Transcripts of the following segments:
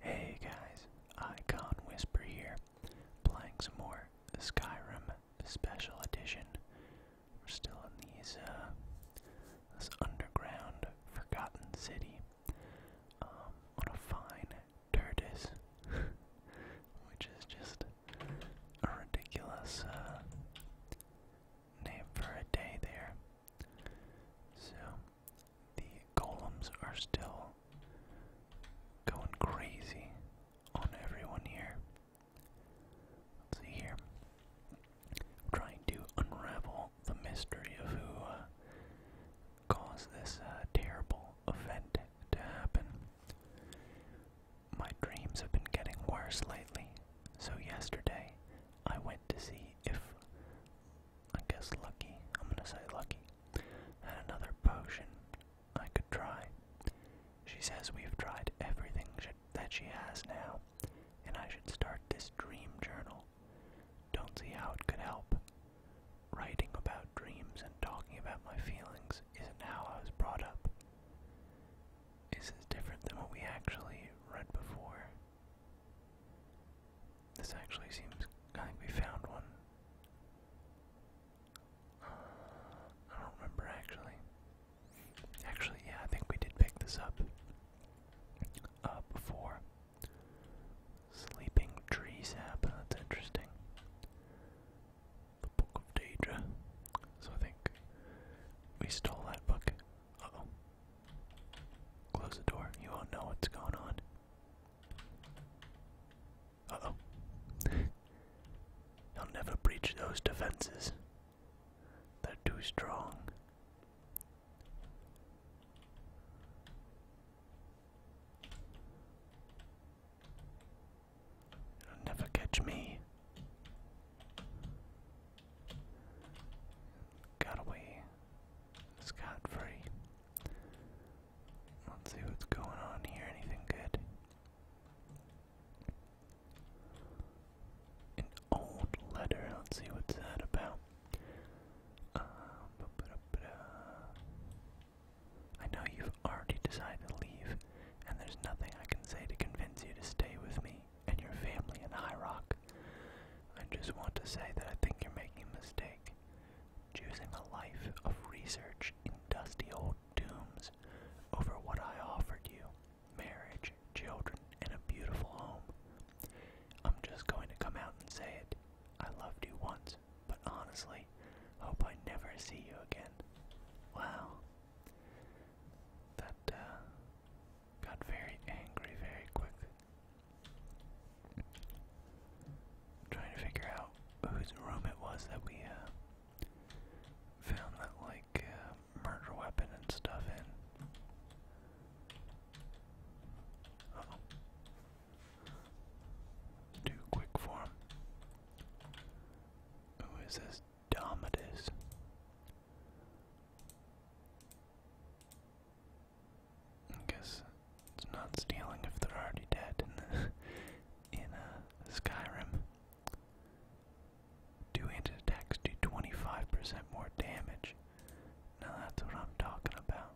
Hey guys, Icon Whisper here, playing some more Skyrim Special Edition. We're still in uh, this underground forgotten city, on um, a fine tortoise, which is just a ridiculous, uh, name for a day there. So the golems are still going crazy on everyone here. Let's see here. trying to unravel the mystery of who uh, caused this uh, terrible event to happen. My dreams have been getting worse lately, so yesterday I went to see if I guess lucky. I'm gonna say lucky. Had another potion I could try. She says we've tried everything that she has now, and I should start this dream journal. Don't see how it could help. Writing about dreams and talking about my feelings isn't how I was brought up. This is different than what we actually read before. This actually seems. I think we found one. Uh, I don't remember actually. Actually, yeah, I think we did pick this up uh, before. Sleeping tree sap. That's interesting. The Book of Daedra. So I think we stole that book. Uh oh. Close the door. You won't know what's going on. Uh oh. He'll never breach those defenses. They're too strong. It'll never catch me. Got away scot free. Let's see what's going on here. Anything good? An old letter. Let's see what's that about. Uh, I know you've already decided to leave, and there's nothing I can say to convince you to stay with me and your family in High Rock. I just want to say that I think you're making a mistake. Choosing a life of research in dusty old tombs over what I offered you marriage, children, and a beautiful home. I'm just going to come out and say it. I loved you once, but honestly, hope I never see you again. Wow. That uh, got very angry very quick. Trying to figure out whose room it was that we uh, found that like uh, murder weapon and stuff in. oh. Too quick for Who is this Domitus? I guess it's not stealing if they're already dead in in uh, Skyrim. Do handed attacks do 25% more damage. Now that's what I'm talking about.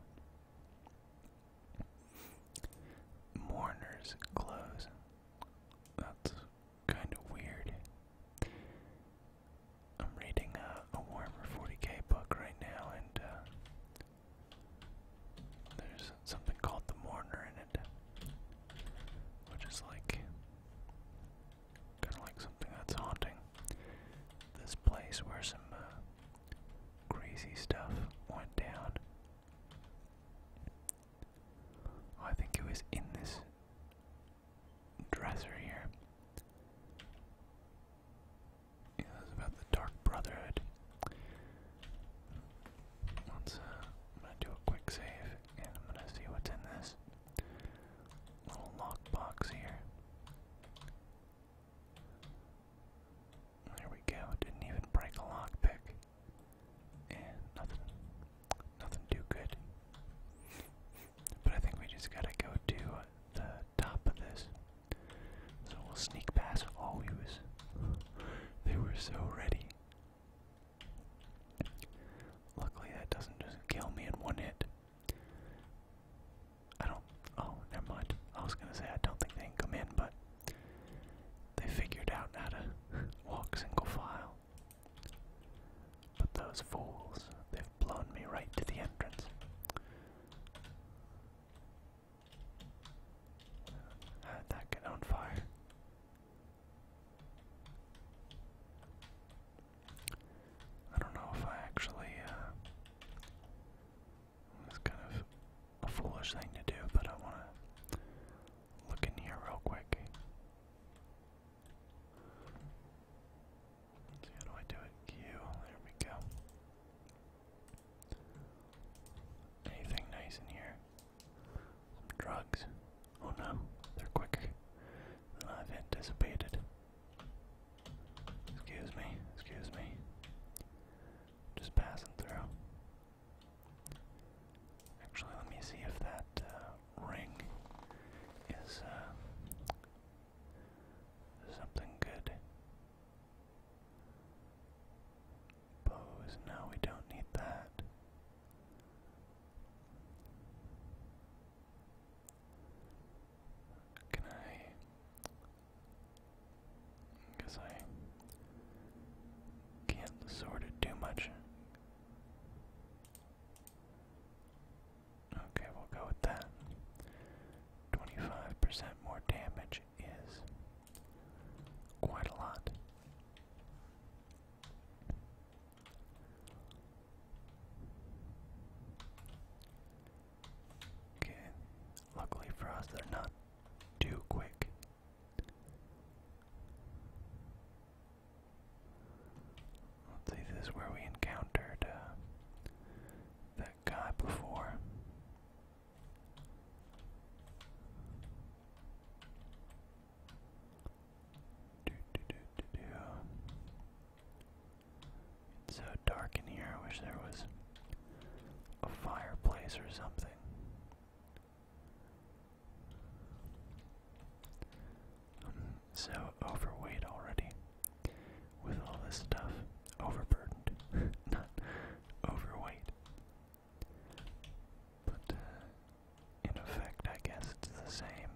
Mourners close. That's kind of weird. I'm reading uh, a Warmer 40k book right now, and uh, there's something called The Mourner in it, which is like kind of like something that's haunting. This place where some uh, crazy stuff went down. Oh, I think it was in this dresser here. Yeah, about the Dark Brotherhood. Uh, I'm gonna do a quick save, and I'm gonna see what's in this little lockbox here. There we go, didn't even break a lockpick. And nothing, nothing too good. But I think we just gotta go to the top of this. So we'll sneak past all of always. They were so ready. Luckily that doesn't just kill me in one hit. I don't oh, never mind. I was gonna say I don't think they can come in, but they figured out how to walk single file. But those fools, they've blown me right to the entrance. How did that get on fire? I don't know if I actually, uh, it's kind of a foolish thing to do, but I want to look in here real quick how do I do it? Q, there we go. Anything nice in here? drugs. Oh no, they're quicker than i anticipated. Excuse me, excuse me. Just passing through. Actually, let me see if that uh, ring is uh, something good. Bows, no, we don't need that. Can I? Because I can't sort it too much. Okay, we'll go with that. 25% more damage is quite a lot. Okay, luckily for us, they're not too quick. Let's see, this is where we encountered uh, guy before. It's so dark in here. I wish there was a fireplace or something. I'm so overweight already with all this stuff. Overburdened, not overweight. But uh, in effect, I guess it's the same.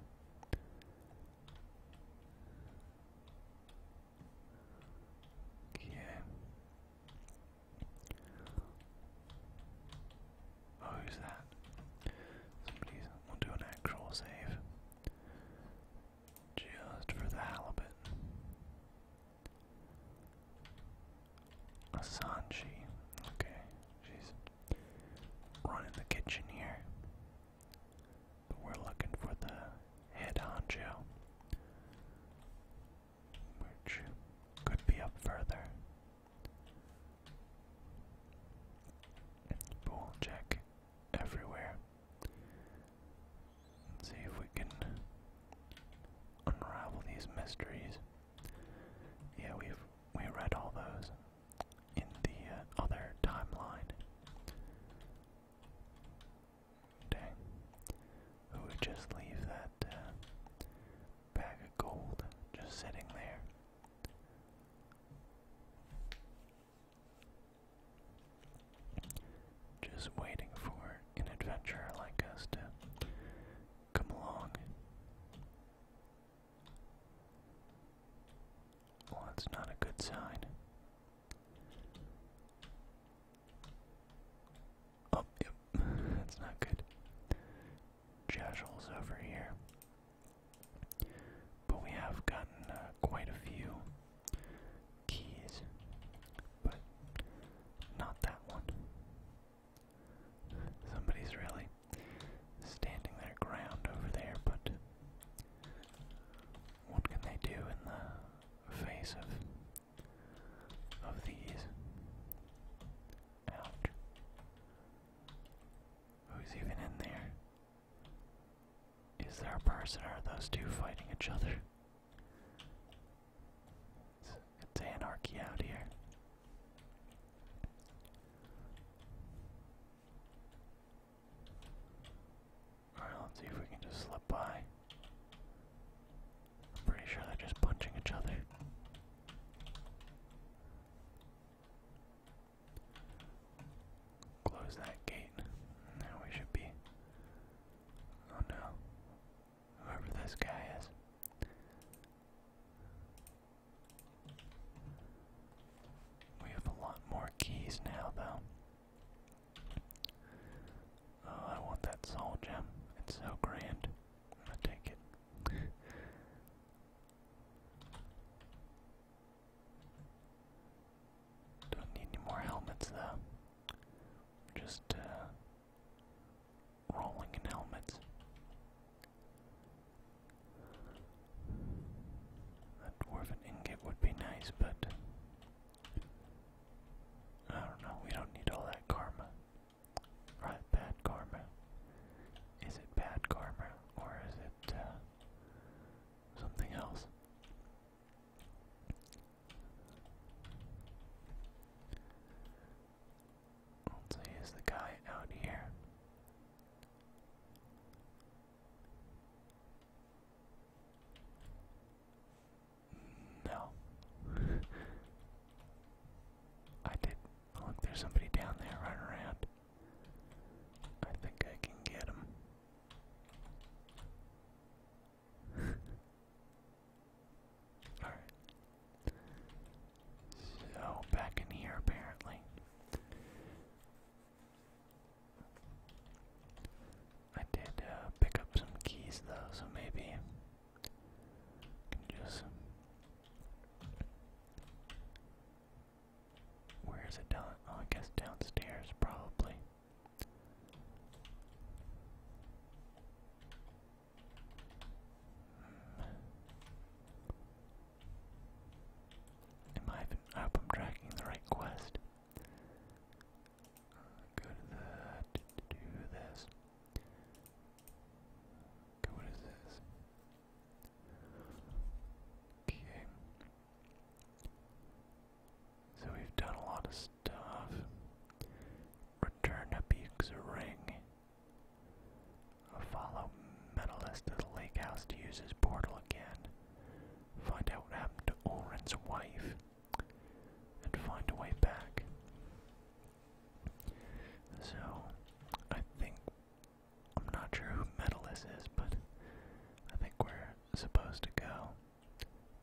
Yeah. Oh, who's that? Somebody will do an actual save. Just for the halibut. Asanji. Okay, she's running the kitchen here. But we're looking for the head honcho. Which could be up further. we check everywhere. Let's see if we can unravel these mysteries. Yeah, we've we read all those in the uh, other timeline. Dang. We would just leave that uh, bag of gold just sitting there. Just waiting for an adventure like us to come along. Well, that's not a good sign. Oh, yep, that's not good. Jeshel's over here. But we have gotten uh, quite a few keys, but not that one. Somebody's really standing their ground over there, but what can they do in the face of of these? Ouch. Who's even in there? Is there a person or are those two fighting each other? It's, anarchy out here. Alright, let's see if we can just slip by. I'm pretty sure they're just punching each other close that gate. Now we should be. Oh no. Whoever this guy is. We have a lot more keys now, though. Oh, I want that soul gem. It's so grand. i take it. Don't need any more helmets though. Just uh, rolling in helmets. A dwarven ingot would be nice, but I don't know. We don't need all that karma. Right? Bad karma. Is it bad karma or is it uh, something else? Let's use the guy out here. No. I did. Look, oh, there's somebody down there running around. I think I can get him. Alright. So, back in here, apparently. I did uh, pick up some keys, though, so maybe can just. Um, where is it down? Oh, I guess downstairs, probably. I hope I'm tracking the right quest. Go to the do this. Okay, what is this? Okay. So we've done a lot of stuff. Return Abuk's ring. Follow Metalist to the lake house to use his portal again. Find out what happened to Oren's wife. And find a way back. So, I think, I'm not sure who Metalist is, but I think we're supposed to go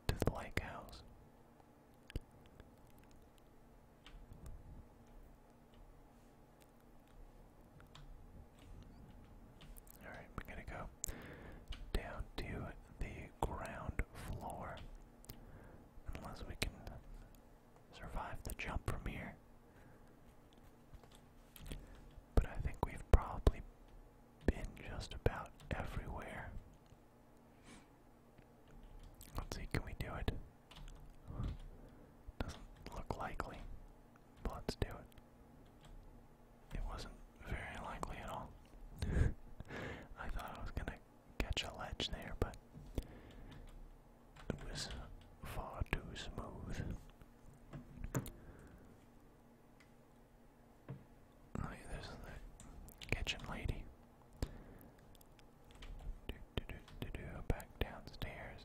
to the lake house. Alright, we're gonna go down to the ground floor. Unless we can survive the jump from here. But I think we've probably been just about everywhere. Let's see, can we do it? Doesn't look likely, let's do it. It wasn't very likely at all. I thought I was gonna catch a ledge there, but it was far too smooth. Oh, there's the kitchen lady. Do, do, do, do, do, back downstairs.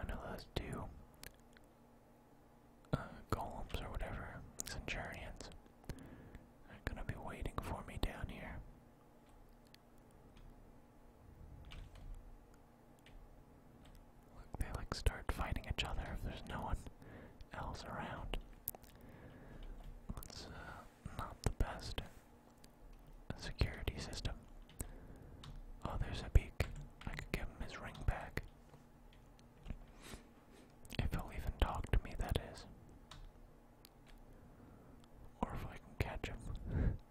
I know those two golems or whatever, centurions, are gonna be waiting for me down here. Look, they like start fighting each other if there's no one else around. That's uh, not the best security system. Oh, there's a beak. I could give him his ring back. If he'll even talk to me, that is. Or if I can catch him.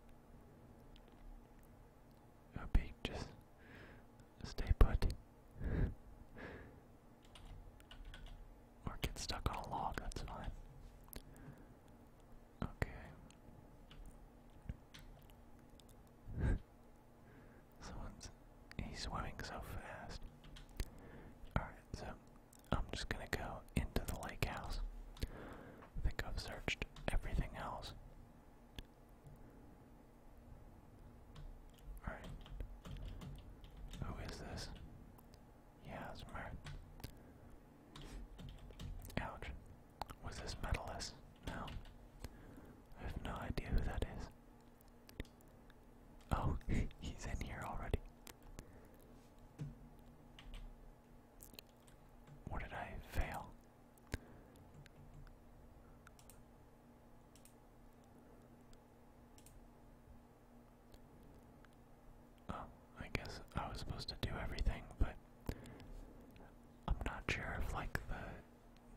It would be just stay put. or get stuck on a log, that's fine. Okay. Someone's he's swimming so fast. Alright, so I'm just gonna go into the lake house. I think I've searched everything else. Alright. Who is this? Yasmer. Ouch. Was this Metalus? No. I have no idea who that is. Oh, he's in here already. Or did I fail? Oh, I guess I was supposed to do everything, but I'm not sure if like the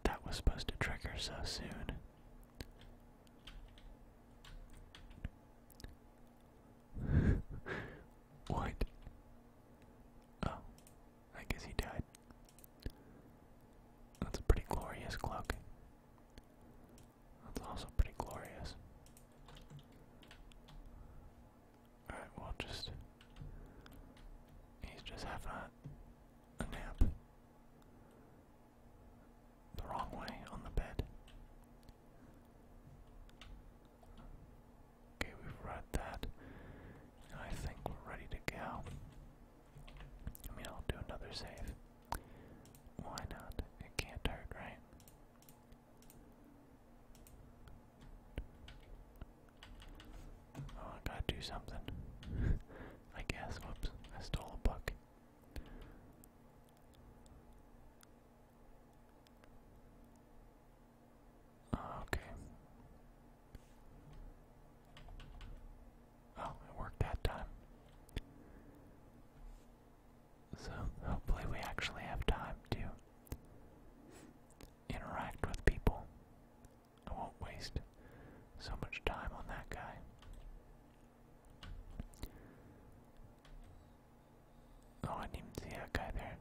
that was supposed to trigger so soon. what? Oh, I guess he died. That's a pretty glorious cloak. That's also pretty glorious. Alright, well, just. He's just having a nap. The wrong way on the bed. Okay, we've read that. I think we're ready to go. I mean, I'll do another save. Why not? It can't hurt, right? Oh, I gotta do something. I guess. Whoops. I stole a book. Okay. Oh, it worked that time. So hopefully we actually have time to interact with people. I won't waste so much time on that guy. Oh, I didn't even see that guy there.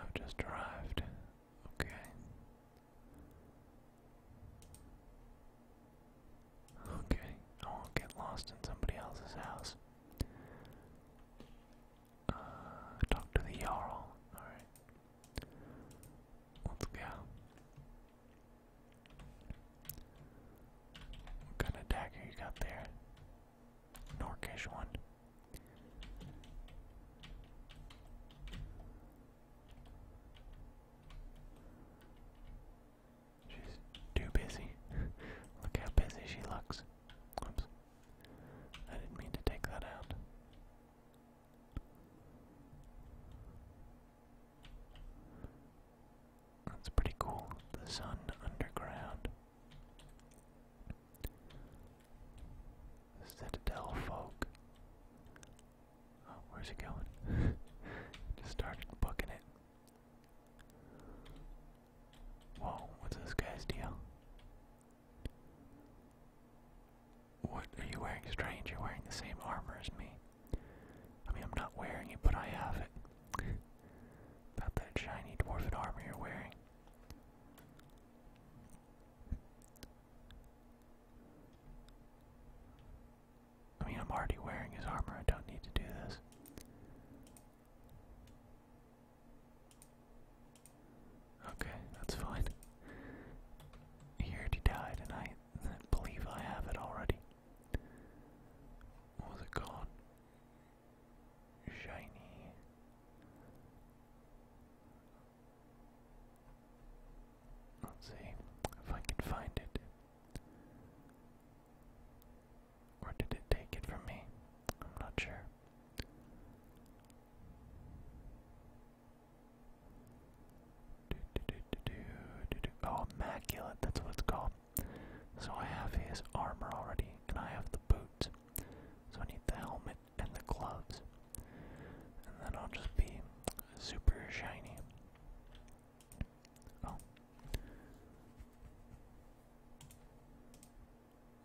I've just arrived. Okay. Okay, I won't get lost in somebody else's house. Uh, talk to the Jarl. Alright. Let's go. What kind of dagger you got there? Norkish one. She's too busy. Look how busy she looks. Oops. I didn't mean to take that out. That's pretty cool. The sun underground. Citadel folk. where's he going? Just started booking it. Whoa, what's this guy's deal? What are you wearing, strange? You're wearing the same armor as me. I mean, I'm not wearing it, but I have it. About that shiny dwarven armor you're wearing. I mean, I'm already wearing his armor, I don't need to do this. Okay, that's fine. He already died, and I believe I have it already. What was it called? shiny. Let's see if I can find it. Or did it take it from me? I'm not sure. Oh, immaculate, that's what it's called. So I have his armor already, and I have the boots. So I need the helmet and the gloves. And then I'll just be super shiny. Oh.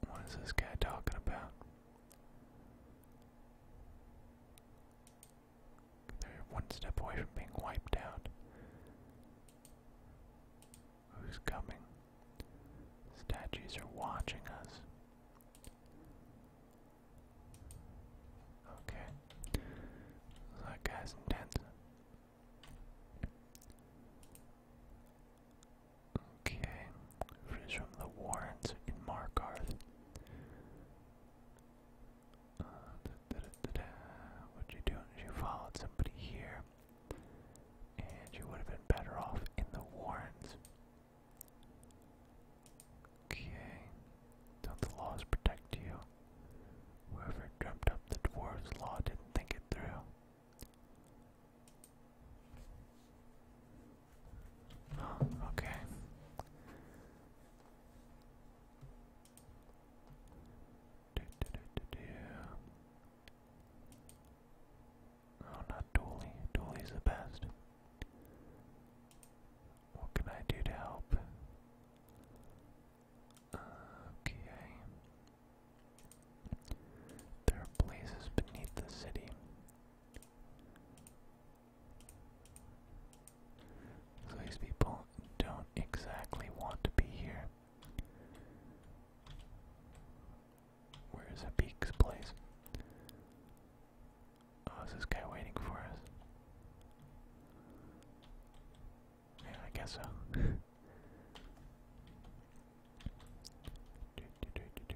What is this guy talking about? They're one step away from being wiped out who's coming. Statues are watching us. Okay. that guy's intense. Okay. Freeze from the Warrens in Markarth. Uh, da, da, da, da, you doing? somebody here and you would have been better off in the Warrens. Okay, don't the laws protect you? Whoever dreamt up the dwarves' law didn't think it through. okay. Oh, not Dooley. Dooley's the best. What can I do to help? Okay. There are blazes beneath the city. these people don't exactly want to be here. Where is Habik's place? Oh, is this guy waiting for us? Yeah, I guess so. do, do,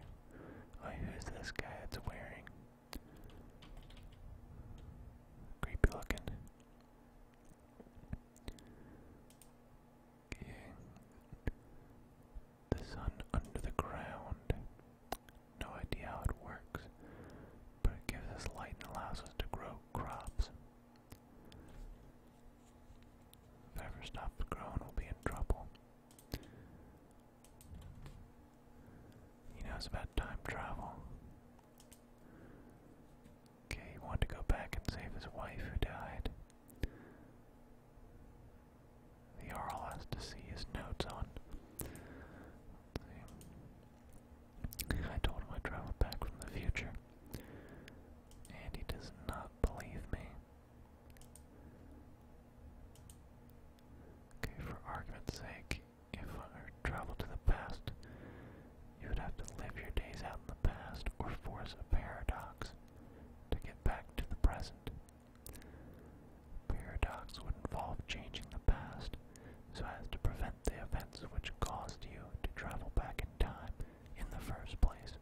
Oh, who's this guy that's wearing? Creepy looking. The sun under the ground. No idea how it works, but it gives us light and allows us to grow crops. If ever stops growing, we'll be in trouble. You know, about time travel. Okay, he wanted to go back and save his wife who died. The Jarl has to see his notes on. I told him I traveled back from the future, and he does not believe me. Okay, for argument's sake, if I were travel to the past, you would have to live your days out in the past or force a paradox to get back to the present. Paradox would involve changing the past so as to prevent the events which caused you to travel back in time in the first place.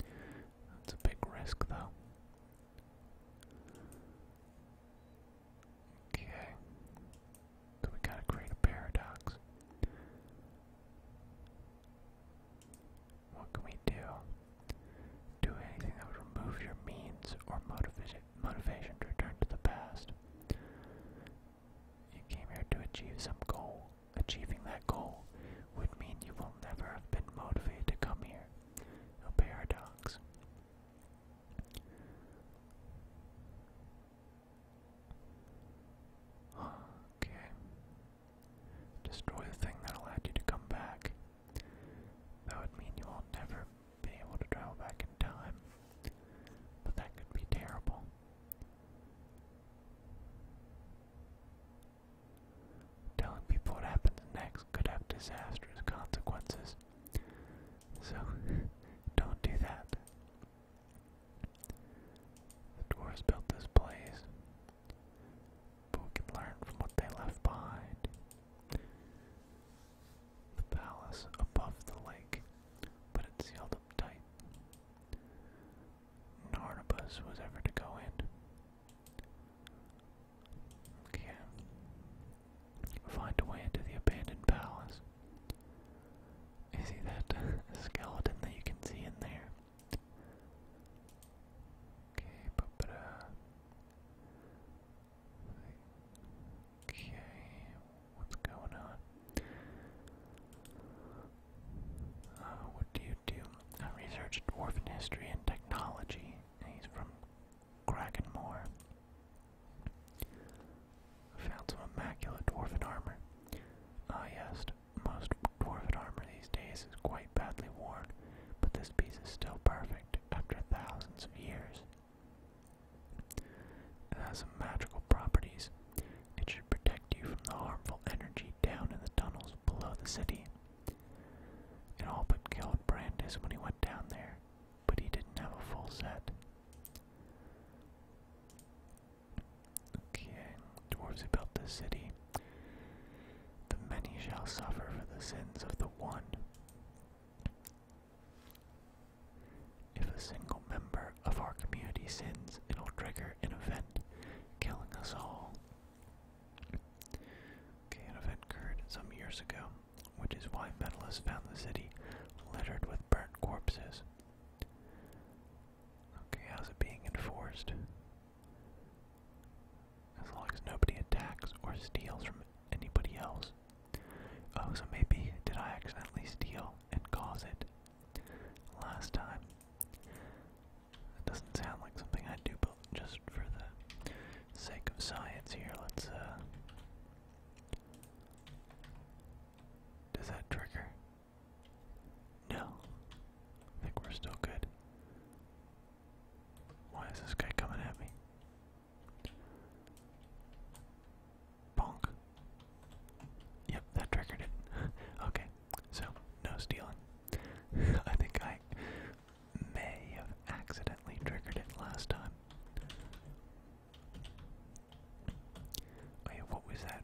That's a big risk, though. Okay, so we gotta create a paradox. What can we do? Do anything that would remove your means or motivation motivation to return to the past. You came here to achieve some goal. Achieving that goal would mean you will never have been motivated to come here. A paradox. Okay. Destroy the thing that allowed you to come back. That would mean you will never be able to travel back in time. But that could be terrible. Telling people what happens next could have disastrous consequences. So, don't do that. The dwarves built this place, but can learn from what they left behind. The palace above the lake, but it sealed up tight. No artibus was ever to go in. Okay. Find a way into the abandoned palace. You see that skeleton that you can see in there? Okay, papra. Uh, okay, what's going on? Uh, what do you do? I uh, research dwarven history and technology. He's from Krakenmore. Found some immaculate dwarven armor. Ah, yes, most dwarven armor these days is quite badly worn, but this piece is still perfect after thousands of years. It has some magical properties. It should protect you from the harmful energy down in the tunnels below the city. It all but killed Brandis when he went down there, but he didn't have a full set dwarves built this city. The many shall suffer for the sins of the one. If a single member of our community sins, it'll trigger an event, killing us all. an event occurred some years ago, which is why Metallus found the city littered with burnt corpses. Okay, how's it being enforced? As long as nobody attacks or steals from anybody else. Oh, so maybe did I accidentally steal and cause it last time? That doesn't sound like something I do, but just for the sake of science here, let's, uh, Does that trigger? No. I think we're still good. Why is this guy coming at me? Bonk. Yep, that triggered it. okay, so no stealing. I think I may have accidentally triggered it last time. Oh what was that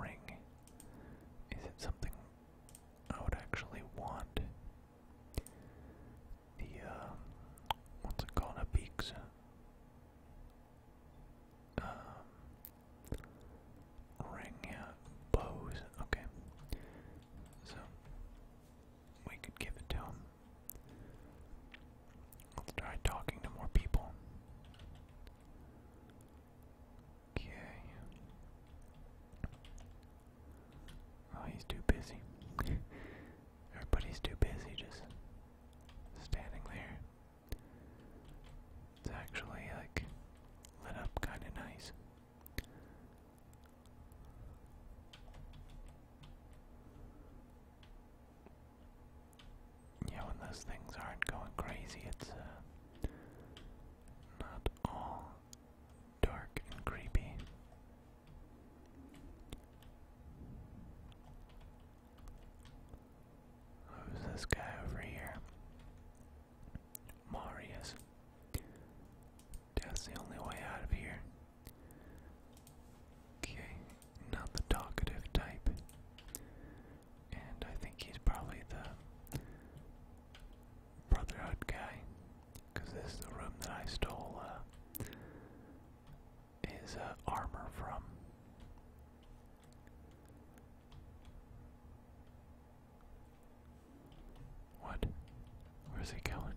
ring? Is it something I would actually want? The, um, what's it called? A beaks. Um, ring, yeah, bows, okay. So, we could give it to him. Let's try talking to more people. Okay. Oh, he's too busy. Everybody's too busy just standing there. It's actually like lit up kind of nice yeah, when those things aren't going crazy, it's uh, not all dark and creepy. Who's this guy over here? Marius. That's the only way out of here. Okay, not the talkative type and I think he's probably the Brotherhood guy, because this is the room that I stole uh, his uh, armor from. What? Where's he going?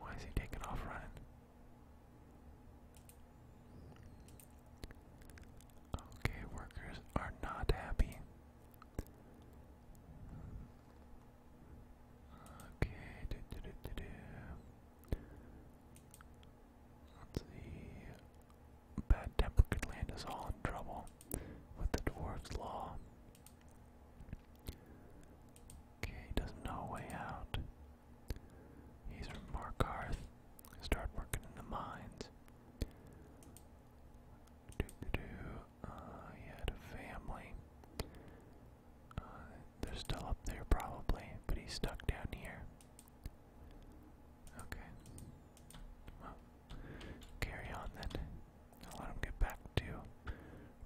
Why is he taking off running? Okay, workers are not happy. Okay, let's see. Bad temper could land us all in trouble with the dwarf's law. Okay, doesn't know way out. He's from Markarth. Started working in the mines. Uh, he had a family. Uh, they're still up there probably, but he's stuck down here. Okay. Well, carry on then. I'll let him get back to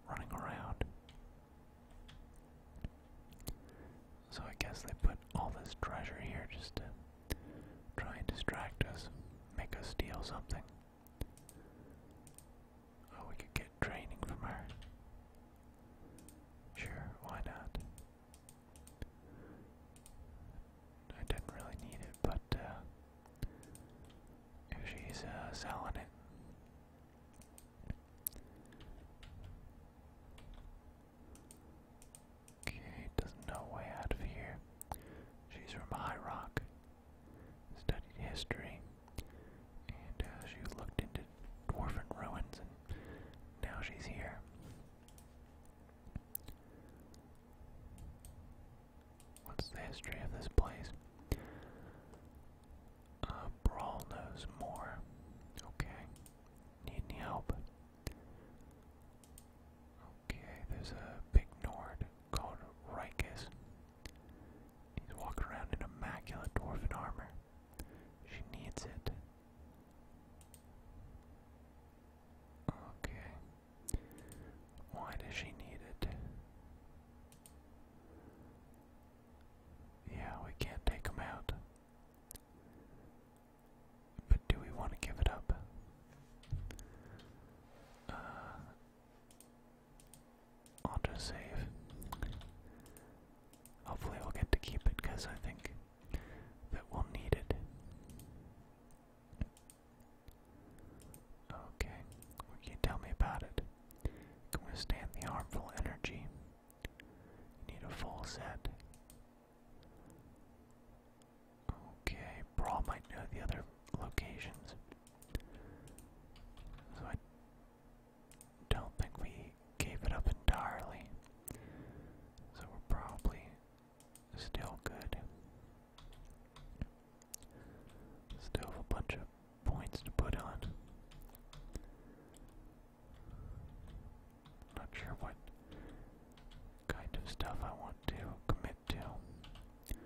running around. So I guess they put all this treasure here just to try and distract us, make us steal something. Oh, we could get training from her. Sure, why not? I didn't really need it, but uh, if she's uh, selling it, Okay, there's no way out of here. She's from High Rock, studied history, and uh, she looked into dwarven ruins, and now she's here. What's the history of this place? Uh, Brawl knows more. Okay. Need any help? Okay, there's a big Nord called Rikus. He's walking around in immaculate dwarven armor. She needs it. Okay. Why does she need it? Yeah, we can't take him out. But do we want to give it up? I'll uh, just save. Hopefully, we'll get to keep it because I think that we'll need it. Okay, can you tell me about it? Can withstand the harmful energy. Need a full set. Okay, Brawl might know the other locations. So I don't think we gave it up entirely. So we're probably still good. Still have a bunch of points to put on. Not sure what kind of stuff I want to commit to. Let's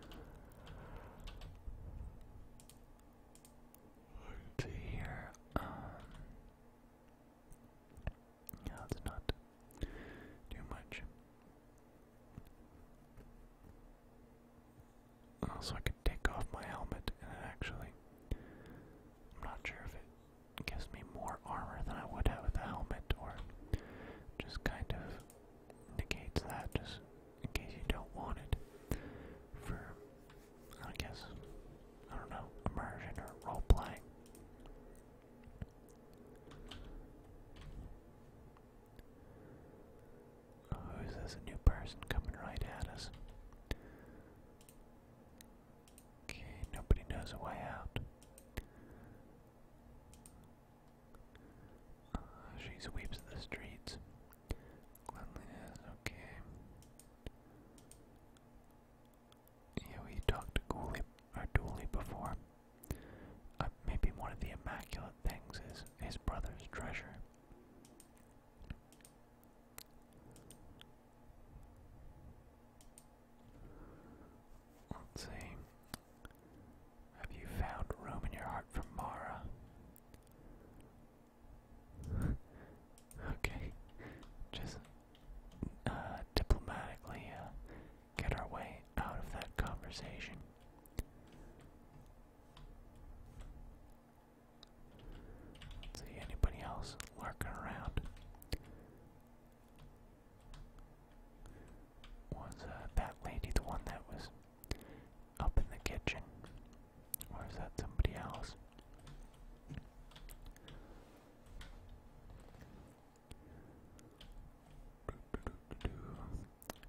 Um, yeah, not too much. Also, I could take off my helmet, and actually, I'm not sure if it gives me more armor than I would have with a helmet, or just kind of negates that just in case you don't want it for, I guess, I don't know, immersion or role playing. Oh, this new person coming right at us? Okay, nobody knows a way out. Uh, she sweeps the streets. okay. Yeah, we talked to Ghoulie, or Dooley before. Uh, maybe one of the immaculate things is his brother's treasure. Let's see. Have you found room in your heart for Mara? okay. Just uh, diplomatically uh, get our way out of that conversation. see anybody else lurking around was uh, that lady the one that was up in the kitchen? Or is that somebody else?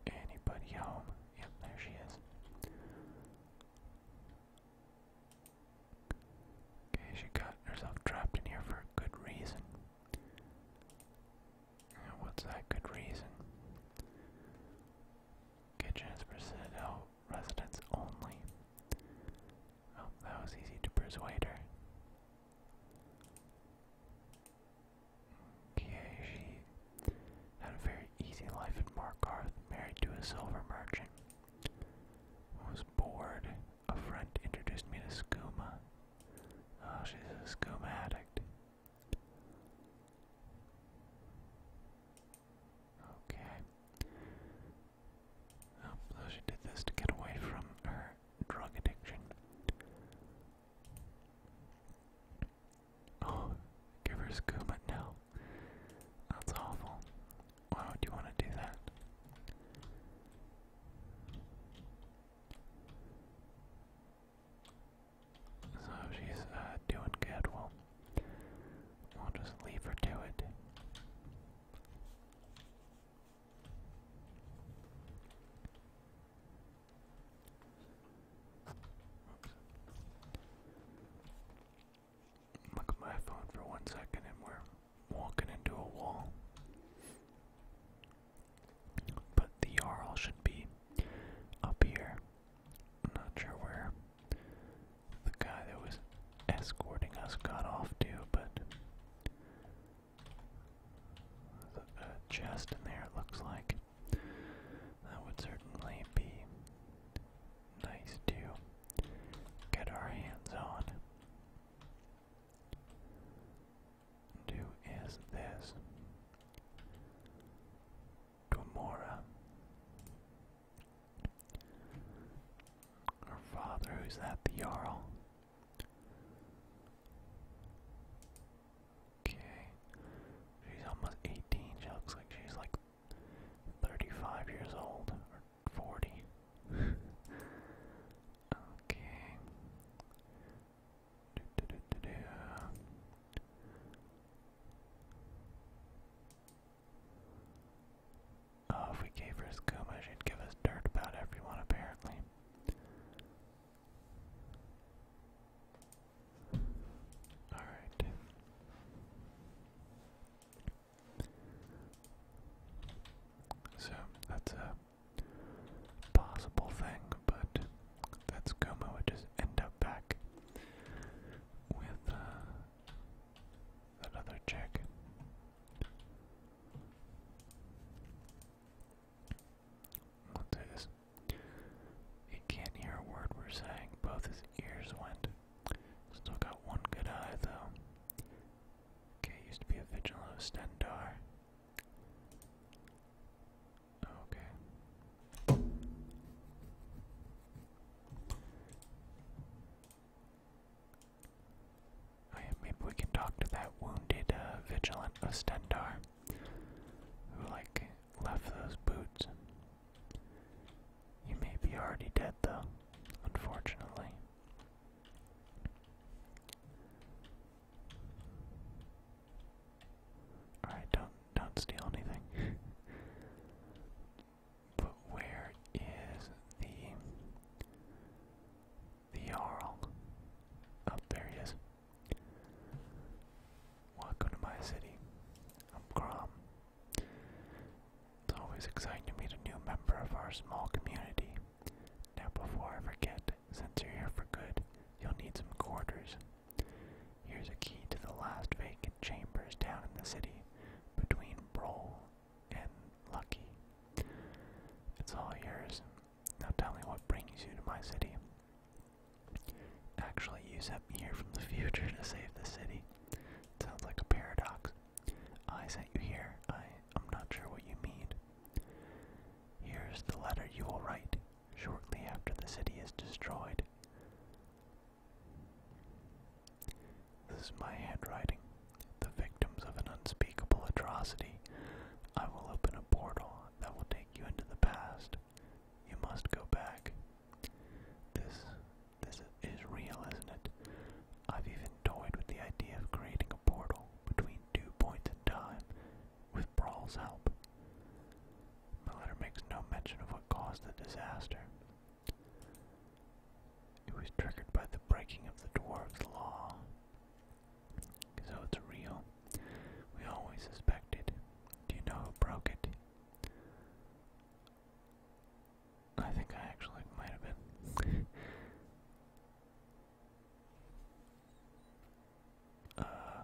Anybody home? Yep, there she is. Okay, she got herself trapped in here for a good reason. what's that good reason? Kitchen for Citadel residents only. Oh, that was easy to persuade her. Okay, she had a very easy life in Markarth, married to a silver merchant. Was bored a friend introduced me to skooma. Oh, she's a skooma addict. Okay. Oh, so she did this to get away from her drug addiction. Oh, give her skooma. No. That's awful. Why would you want to do that? So she's uh, doing good. Well, we'll just leave her to it look at my phone for one second and we're walking into a wall. But the Jarl should be up here. not sure where the guy that was escorting us got off to, but there's a, chest in there, looks like. That would certainly be nice to get our hands on. Who is this. Gomorrah. Her father, who's that, the Jarl? Okay. She's almost 18. She looks like she's like 35 years old 40. okay. Oh, if we gave her skooma, she'd give us dirt about everyone, apparently. Alright. So that's a possible thing, but that's Goma would just end up back with uh, that other He can't hear a word we're saying. Both his ears went. Still got one good eye though. Okay, used to be a Vigilo Stendar. Okay. maybe we can talk to that wounded uh, vigilant Ostendar who, like, left those boots. You may be already dead, though, unfortunately. Alright, don't don't steal anything. but where is the the Jarl? Up oh, there he is. Welcome to my city. I'm Grom. It's always exciting to meet a new member of our small community. Now before I forget, since you're here for good, you'll need some quarters. Here's a key to the last vacant chambers down in the city, between Broll and Lucky. It's all yours. Now tell me what brings you to my city. Actually, you sent me here from the future to save the city. Sounds like a paradox. I sent you here. I am not sure what you mean. Here's the letter you will write shortly after the city is destroyed. This is my handwriting. The victims of an unspeakable atrocity. I will open a portal that will take you into the past. You must go back. This this is real, isn't it? I've even toyed with the idea of creating a portal between two points in time with Brawl's help. My letter makes no mention of what caused the disaster. It was triggered by the breaking of the dwarves' law. So it's real. We always suspected. Do you know who broke it? I think I actually might have been. Uh,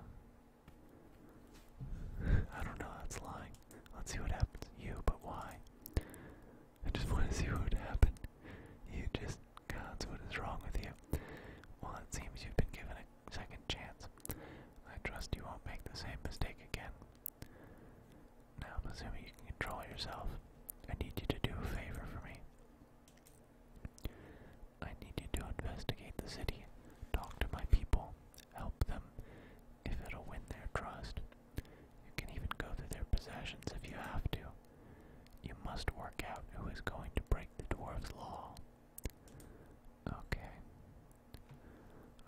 I don't know, that's lying. Let's see what happens. You, but why? I just want to see what would happen. You just, God's, what is wrong with you? Well, it seems you've been given a second chance. I trust you won't make the same mistake again. Now I'm assuming you can control yourself. I need you to do a favor for me. I need you to investigate the city, talk to my people, help them if it'll win their trust. You can even go through their possessions if you have to. You must work out who is going to break the dwarves' law. Okay.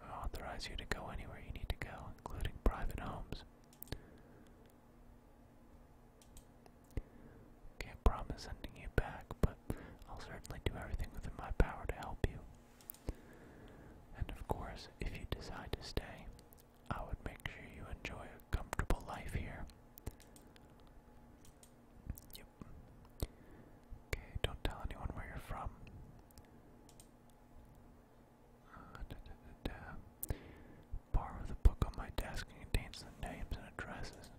I authorize you to go anywhere you need to go, including private homes. Can't promise sending you back, but I'll certainly do everything within my power to help you. And of course, if you decide to stay, I would make sure you enjoy a comfortable life here. Yep. Okay, don't tell anyone where you're from. Uh, da, da, da, book on my desk contains the names and addresses.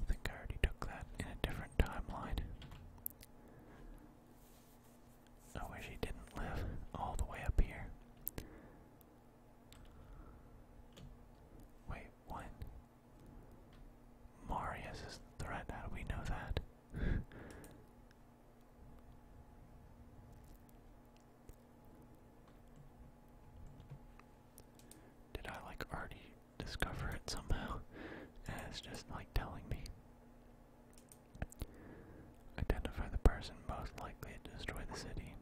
I think I already took that in a different timeline. I wish he didn't live all the way up here. Wait, what? Marius is the threat, how we know that? Did I like already discover it somehow? And it's just like telling me. Identify the person most likely to destroy the city.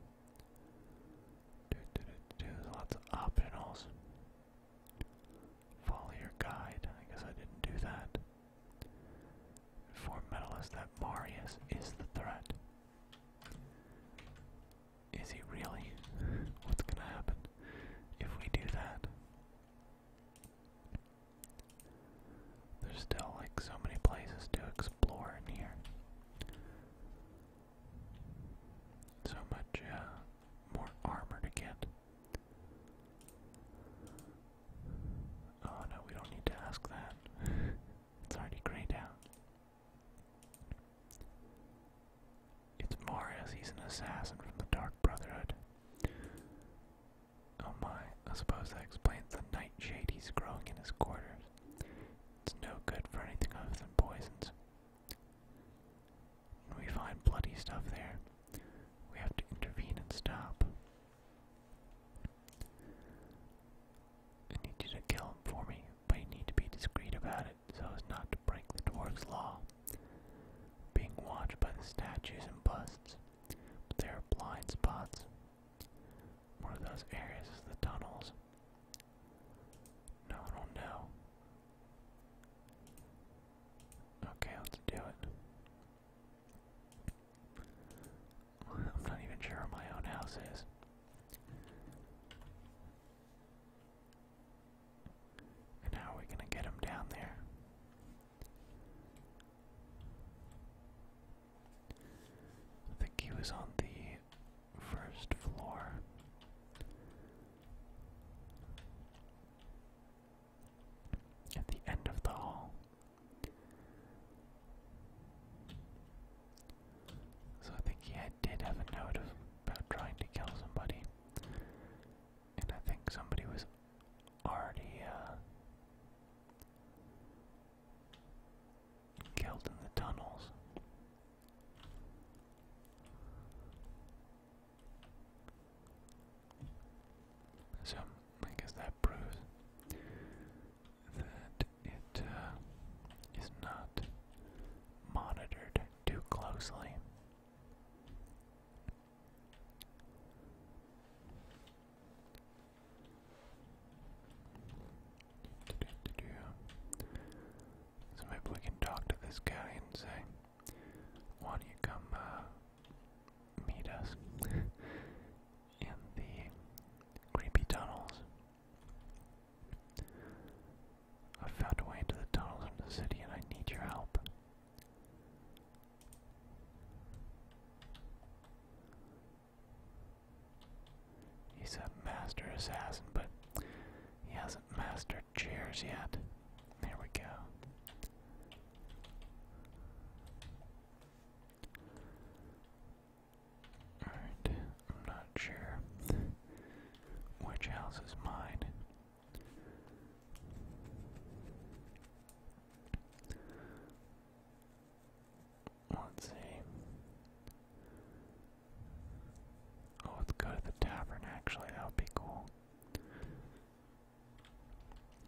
Do, do, do, do. lots of optionals. Follow your guide. I guess I didn't do that. For Metallus that Marius is the threat. Is he really? What's gonna happen if we do that? There's still like so many places to explore in here. So much uh, more armor to get. Oh no, we don't need to ask that. it's already grayed out. It's Marius, he's an assassin from the Dark Brotherhood. Oh my, I suppose that explains the nightshade he's growing in his quarters. It's no good for anything other than poisons. When we find bloody stuff there, we have to intervene and stop. I need you to kill him for me, but you need to be discreet about it so as not to break the dwarf's law. Being watched by the statues and busts, but there are blind spots. One of those areas is the tunnels. No one will know. Okay, let's do it. I'm not even sure where my own house is. And how are we going to get him down there? I think he was on the first floor. At the end of the hall. So I think he did have a note of, about trying to kill somebody. And I think somebody was already uh, killed in the tunnels. So I guess that proves that it uh, not monitored too closely. So maybe we can talk to this guy and say, "Why don't you come uh, meet us?" in the creepy tunnels. i found a way into the tunnels of the city and I need your help. He's a master assassin, but he hasn't mastered chairs yet. There we go. Alright, I'm not sure which house is mine. Let's see. Oh, let's go to the tavern actually, that would be cool.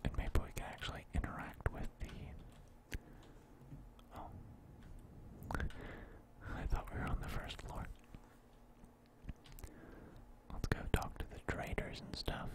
And maybe we can actually interact with the Oh. I thought we were on the first floor. Let's go talk to the traders and stuff.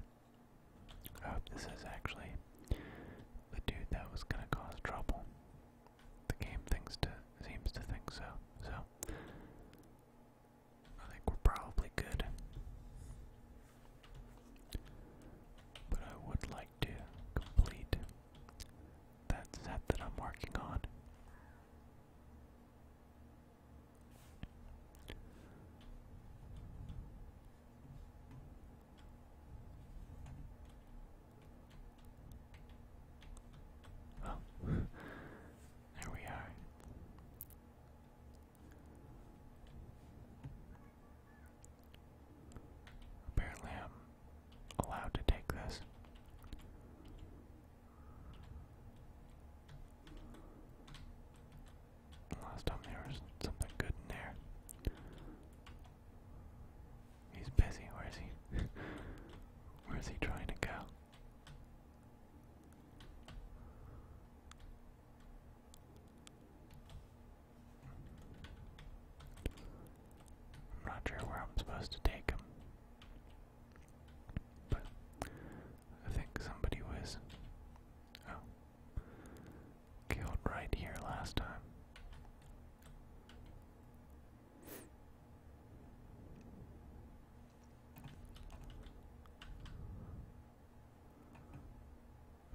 I oh, hope this is actually the dude that was gonna cause trouble. The game seems to think so, so I think we're probably good. But I would like to complete that set that I'm working on. Oh, there we are. Apparently, I'm allowed to take this. Last time there was something good in there. He's busy. Where is he? Where is he trying to go? I'm not sure where I'm supposed to take him. But I think somebody was Oh. Killed right here last time.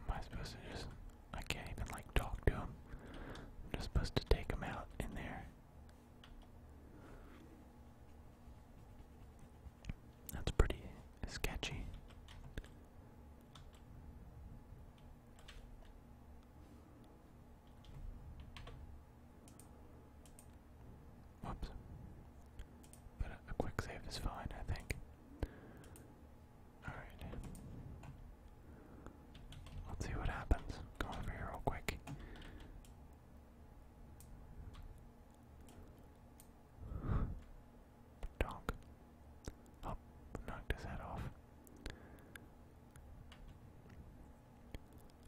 Am I supposed to just. I can't even like talk to him. I'm just supposed to take him out in there. That's pretty sketchy. Whoops. But a, quick save is fine, I think. Alright. Let's see what happens. Go over here real quick. Donk. Up, oh, knocked his head off.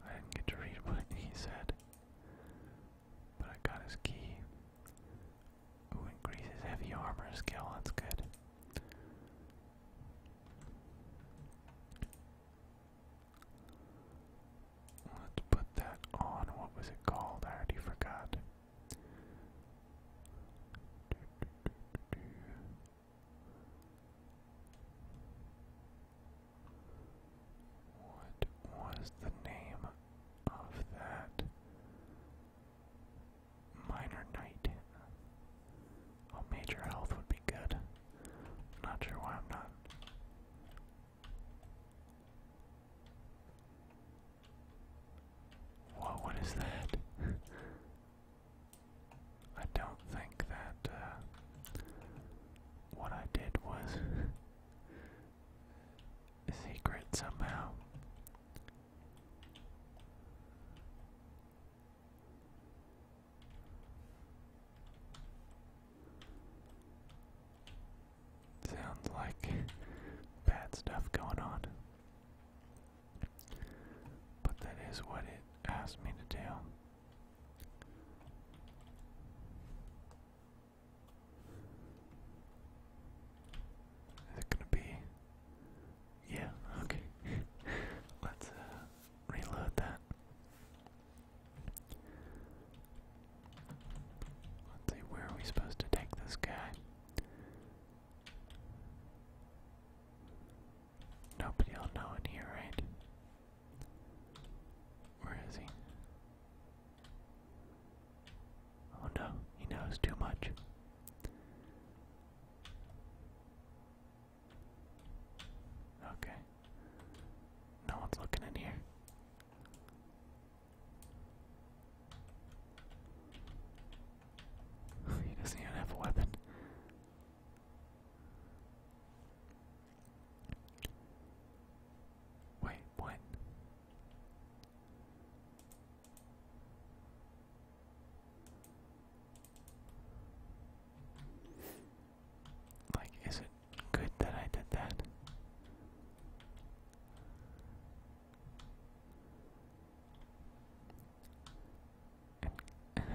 I didn't get to read what he said, but I got his key. Ooh, increases heavy armor skill, that's good. Let's put that on. What was it called? I already forgot. What was the name of that minor knight? Oh, major health would be good. not sure why not what? What is that? I don't think that uh, what I did was secret somehow. Sounds like bad stuff going on. But that is what it asked me to do. Is it gonna be? Yeah, okay. Let's uh, reload that. Let's see, where are we supposed to take this guy? Nobody will know in here, right? Where is he? Oh no, he knows too much. Okay. No one's looking in here. he doesn't even have a weapon. Wait, what? Like, is it Good that I did that.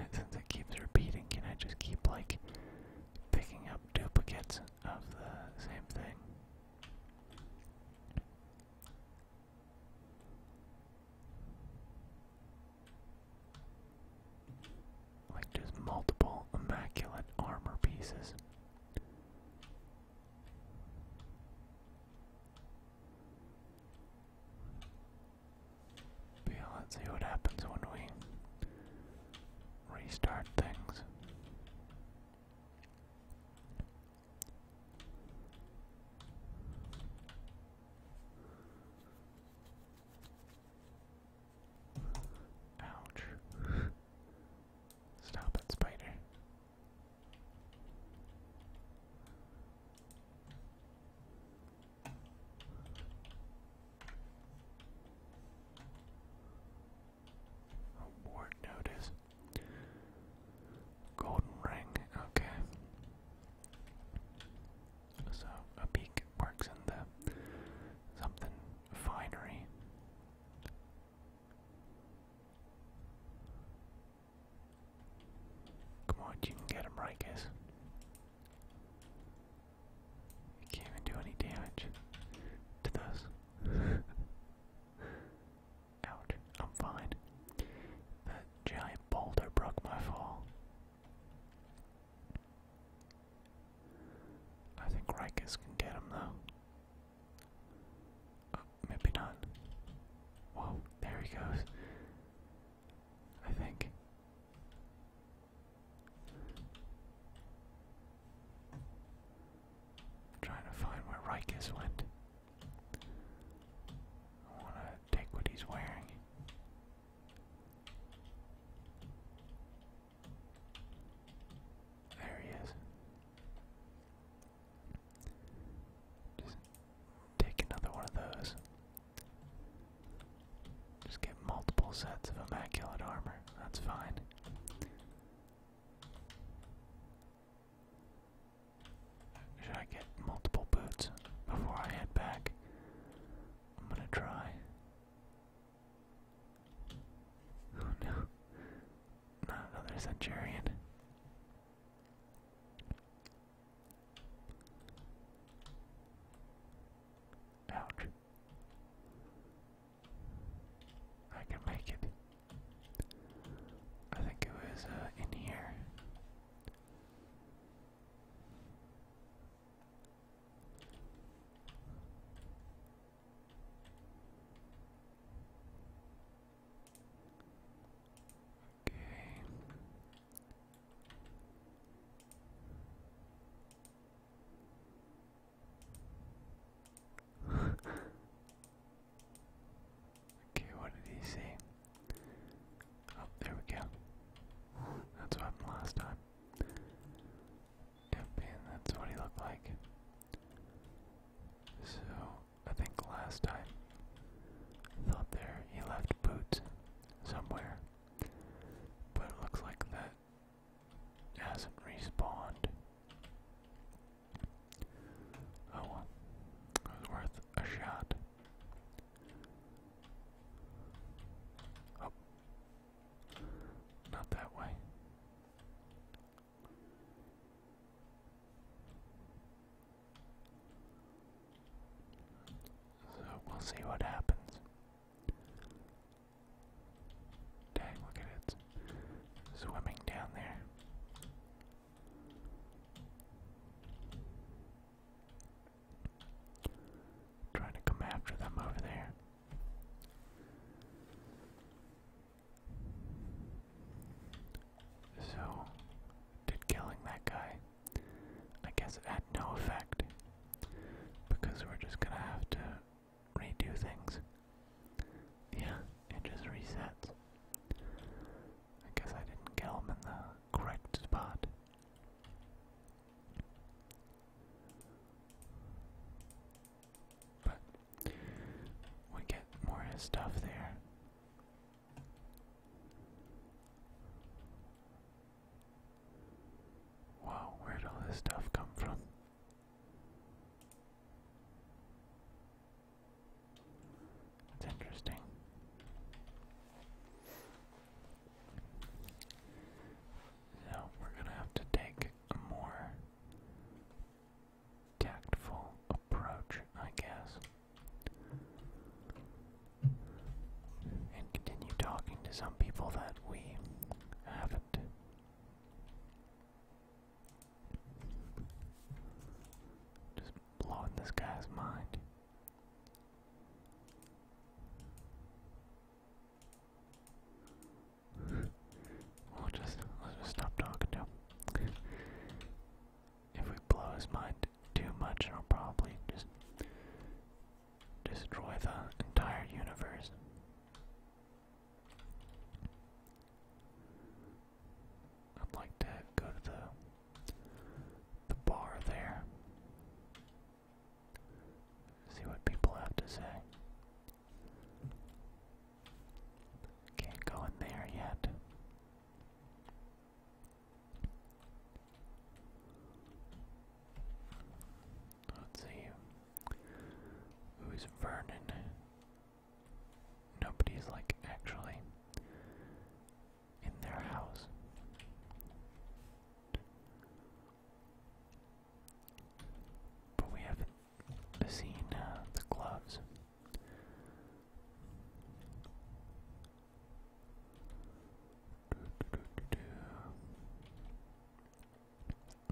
since it keeps repeating, can I just keep like picking up duplicates of the same thing? Like just multiple immaculate armor pieces let's see what happens when we restart things. Ouch. Stop it, spider. A notice. Golden ring, okay. So a beak works in the something finery. Come on, you can get him right, You can't even do any damage to this. Ouch, I'm fine. That giant boulder broke my fall. I think Rikus can get him though. Uh, maybe not. Whoa, there he goes. I think. trying to find where Rikus went. I want to take what he's wearing. There he is. Just take another one of those. Just get multiple sets of immaculate armor. That's fine. Should I get multiple boots before I head back? I'm gonna try. Oh no, not another centurion. Ouch. I can make it. I think it was uh, in here. Okay. okay, what did he say? Oh, there we go. That's what happened last time. Campaign, that's what he looked like. So, I think last time, I thought there he left boots somewhere. But it looks like that hasn't respawned. Oh well, it was worth a shot. Oh, not that way. So we'll see what happens. Dang, look at it. Swimming down there. Trying to come after them over there. So, did killing that guy, I guess it had no effect, because we're just gonna have to redo things. Yeah, it just resets. I guess I didn't kill him in the correct spot. But we get more stuff there. Wow, where'd all this stuff come from? It's interesting. So we're gonna have to take more tactful approach, I guess. And continue talking to some people that we haven't. Just blowing this guy's mind we'll just let's just stop talking to him. if we blow his mind too much, it'll probably just destroy the entire universe. I'd like to go to the the bar there. See what people have to say. Can't go in there yet. Let's see. Who's Vernon? Nobody's like actually in their house. But we haven't seen uh, the gloves.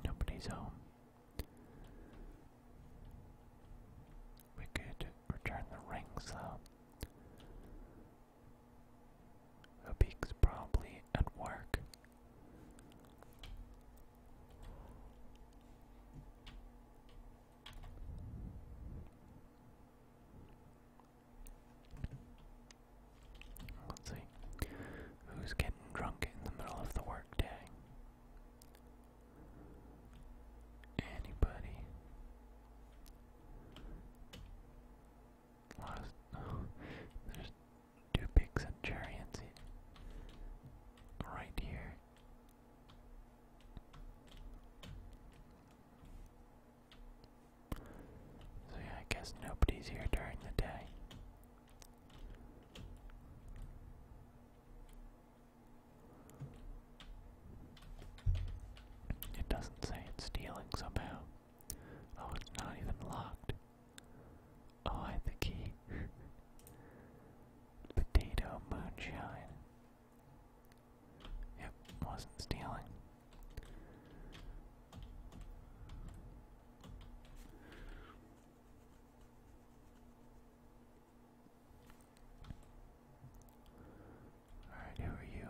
Nobody's home. We could return the rings though. Habik's probably at work. Let's see. Who's getting drunk in the middle of the workday? Anybody? Lot there's two big centurions right here. So yeah, I guess nobody's here during the day. It doesn't say it's stealing somehow. Oh, it's not even locked. I had the key. Potato moonshine. Yep, wasn't stealing. Alright, who are you?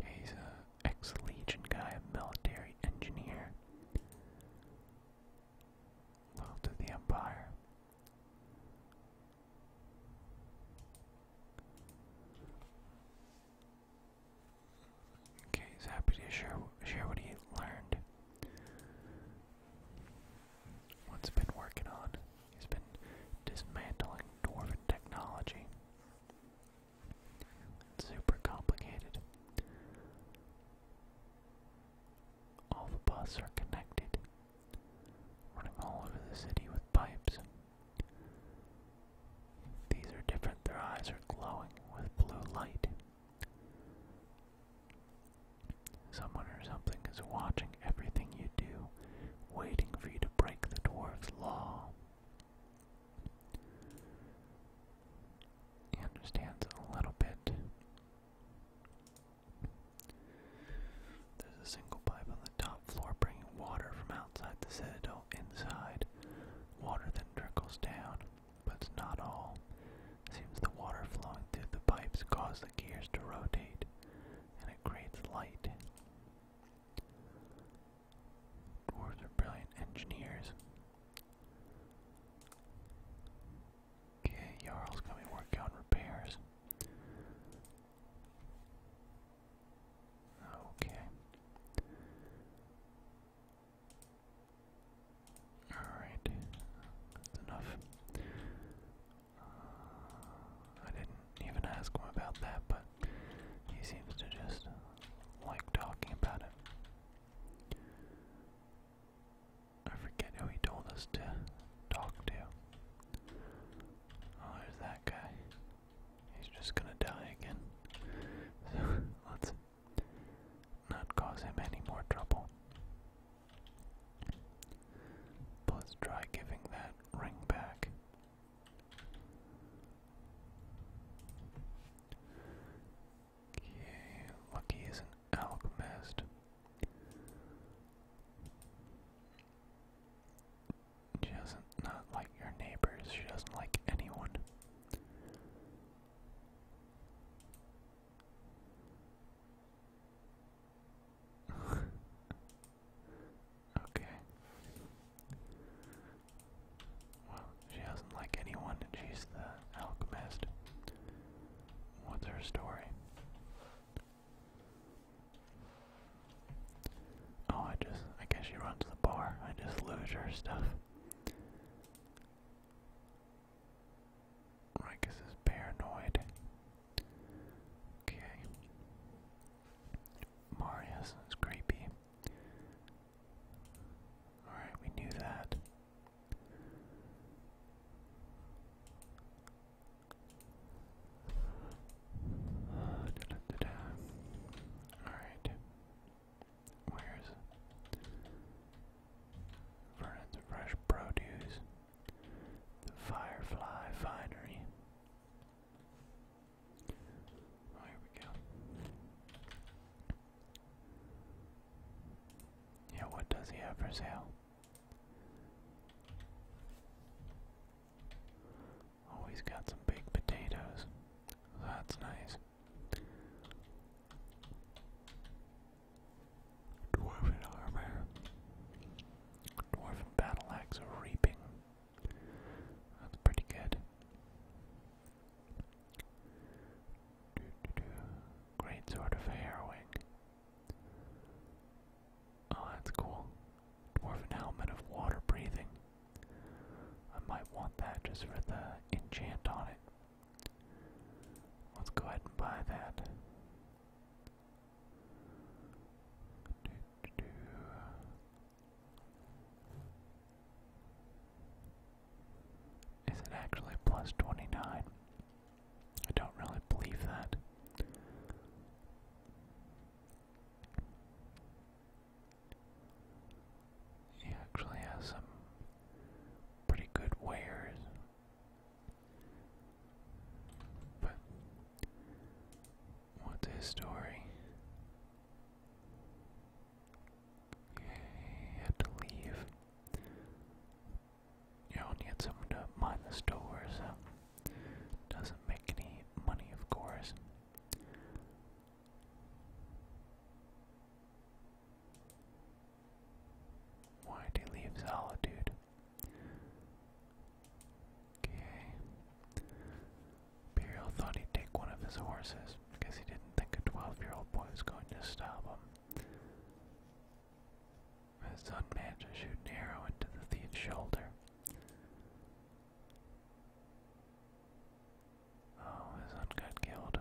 Okay, he's a ex-legion guy, a military engineer. Loyal to the Empire. Okay, he's happy to share share what he learned. What's been working on? He's been dismantling dwarven technology. It's super complicated. All the buses are connected, running all over the city with pipes. These are different, their eyes are glowing with blue light. Someone or something is watching everything you do, waiting for you to break the dwarf's law. He understands a little bit. There's a single pipe on the top floor bringing water from outside the citadel inside. Water then trickles down, but not all. seems the water flowing through the pipes causes the gears to rotate, and it creates light. Dwarves are brilliant engineers. Okay, Jarl's gonna be on repairs. Okay. Alright, that's enough. Uh, I didn't even ask him about that, but he seems to just like talking about it. I forget who he told us to talk to. Oh, there's that guy. He's just gonna die again. So let's not cause him any more trouble. let's try giving that ring back. Okay, Lucky is an alchemist. She doesn't not like your neighbors, she doesn't like anyone. okay. Well, she doesn't like anyone and she's the alchemist. What's her story? Oh, I just, I guess she runs the bar. I just lose her stuff. Rikus is paranoid. Okay. Marius is creepy. Alright, we knew that. Alright. Where's Vernon's Fresh Produce? The Firefly Finery. Oh, here we go. Yeah, what does he have for sale? Oh, got some big potatoes. That's nice. Dwarven armor. Dwarven battle axe reaping. That's pretty good. Great sort of hair wing. Oh, that's cool. Dwarven helmet of water breathing. I might want that just for the enchant on it. Let's go ahead and buy that. Is it actually plus 29? I don't really believe that. He actually has some pretty good wares. But what's his story? You had to leave. You don't someone to mind the store, so doesn't make any money, of course. Why did he leave solitude? Okay. Burial thought he'd take one of his horses, because he didn't think a twelve-year-old boy was going to stop him. His son managed to shoot an arrow into the thief's shoulder. Oh, his son got killed.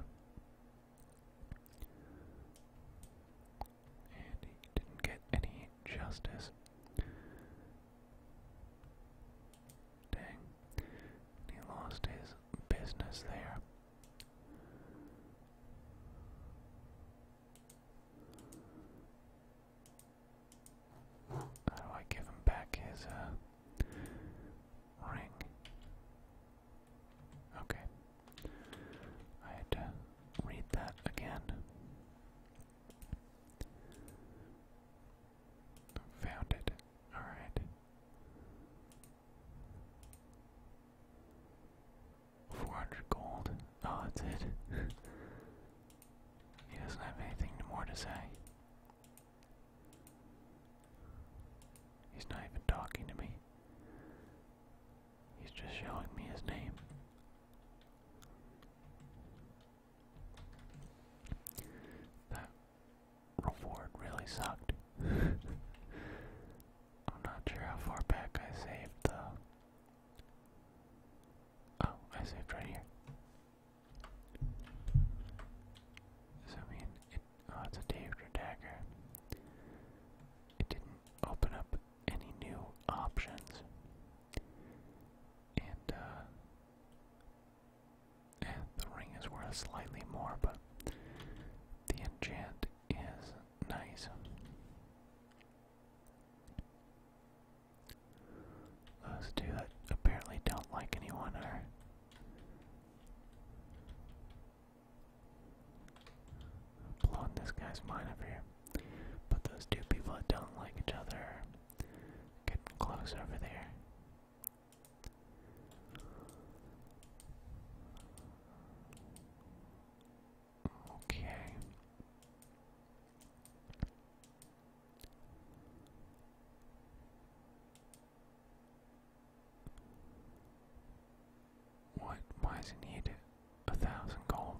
And he didn't get any justice. Dang. He lost his business there. How do I give him back his uh, ring? Okay. I had to read that again. Found it. Alright. Four hundred gold. Oh, that's it. he doesn't have anything more to say. He's not even talking to me. He's just showing me his name. That reward really sucked. I'm not sure how far back I saved the. Oh, I saved right here. Does that mean it? Oh, it's a Daedra dagger. It didn't open up any new options. And, uh the ring is worth slightly more, but the enchant is nice. Those two that apparently don't like anyone are. Blowing this guy's mind over here. But those two people that don't like each other are close over there. Okay. What? Why does he need a thousand gold?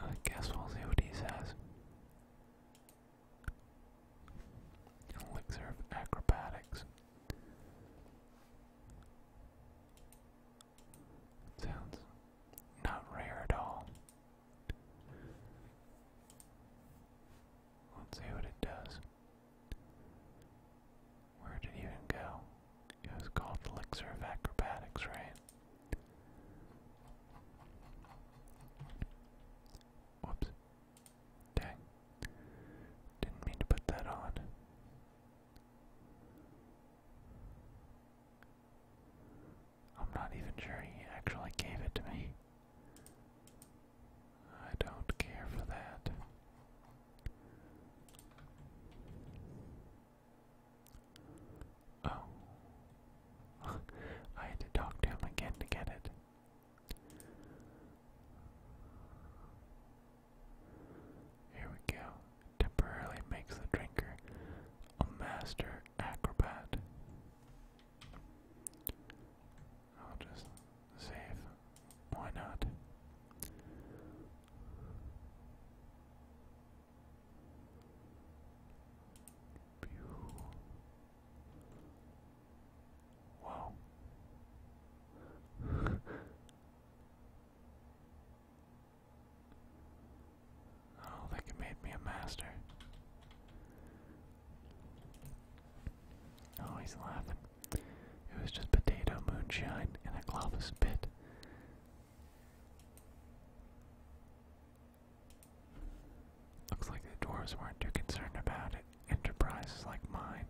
I guess we'll see what he says. Elixir of acrobatics. Sounds not rare at all. Let's see what it does. Where did it even go? It was called Elixir of Acrobatics, right? Whoops. Dang. Didn't mean to put that on. I'm not even sure he actually gave it to me. I don't care for that. Oh. I had to talk to him again to get it. Here we go. Temporarily makes the drinker a master acrobat. I'll just save why not? Wow. oh, like it made me a master. Oh, he's laughing. It was just potato moonshine and a glovis spit. Looks like the dwarves weren't too concerned about it. Enterprises like mine.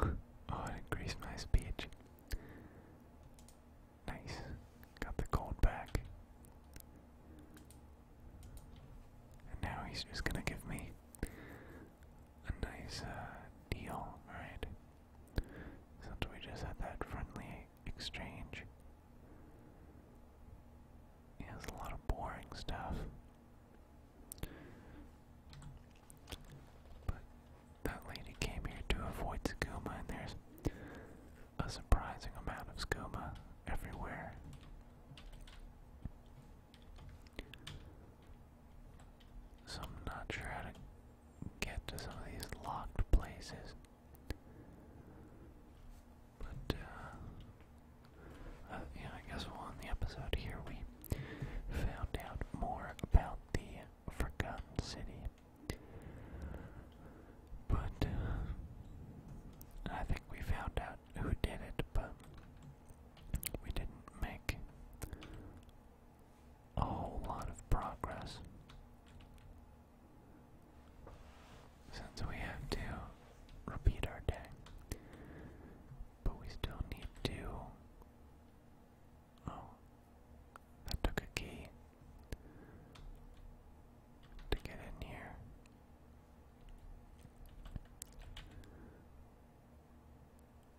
oh, it increased my speech. Nice. Got the gold back. And now he's just gonna give me a nice uh, deal, right? Since we just had that friendly exchange. He has a lot of boring stuff. But that lady came here to avoid Sakuma, and there's a surprising amount of skooma everywhere. So I'm not sure how to get to some of these locked places. But, uh, uh, yeah, I guess well, in the episode here we found out more about the Forgotten City. But uh, I think we found out who did it, but we didn't make a whole lot of progress. Since we have to repeat our day, but we still need to. Oh, I took a key to get in here.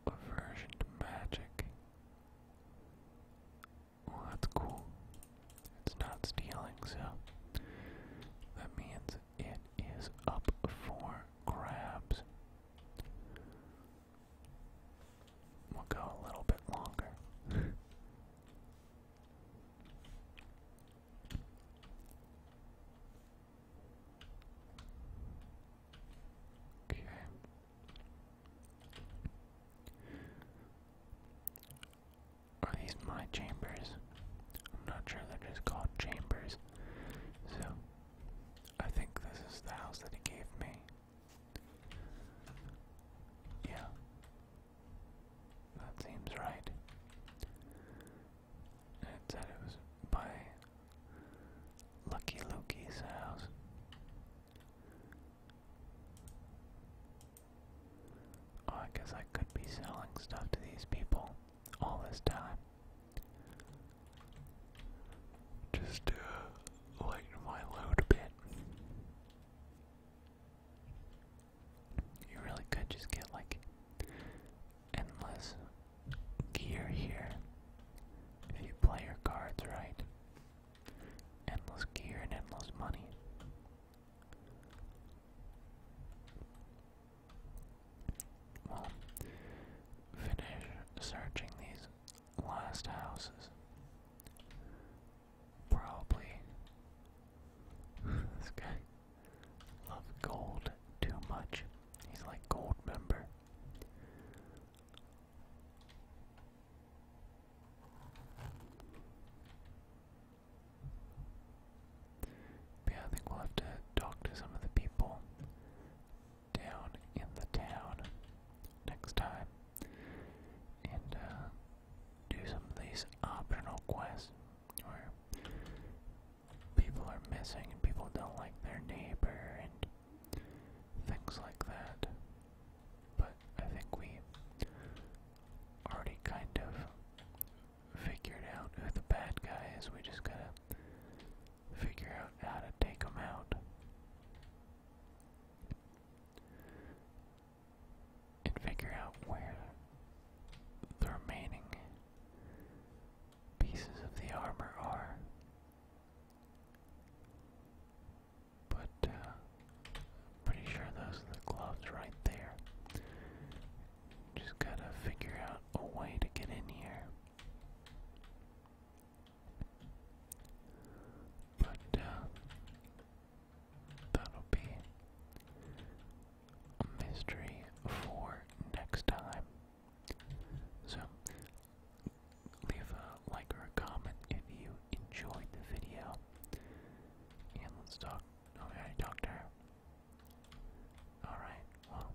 Aversion to magic. Well, that's cool. It's not stealing, so that means it is up for grabs. We'll go a little bit longer. Okay. Are these my chambers? I'm not sure they're just called chambers. So, I think this is the house that he gave me. Yeah, that seems right. It said it was by Lucky Loki's house. Oh, I guess I could be selling stuff to these people all this time. Just to uh, lighten my load a bit. You really could just get like endless gear here if you play your cards right. Endless gear and endless money. Well, finish searching these last houses. Probably. this guy loves gold too much. He's like gold member. yeah, I think we'll have to talk to some of the people down in the town next time. And uh, do some of these optional quests where people are missing and people don't like their neighbor and things like that. But I think we already kind of figured out who the bad guy is. We just gotta figure out how to take him out and figure out where the remaining pieces of the armor are. But uh, I'm pretty sure those are the gloves right there. Just gotta figure out a way to get in here. But uh, That'll be a mystery for next time. So, leave a like or a comment if you enjoyed the video. And let's talk. Oh, Alright, well,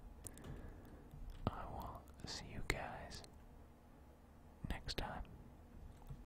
I will see you guys next time.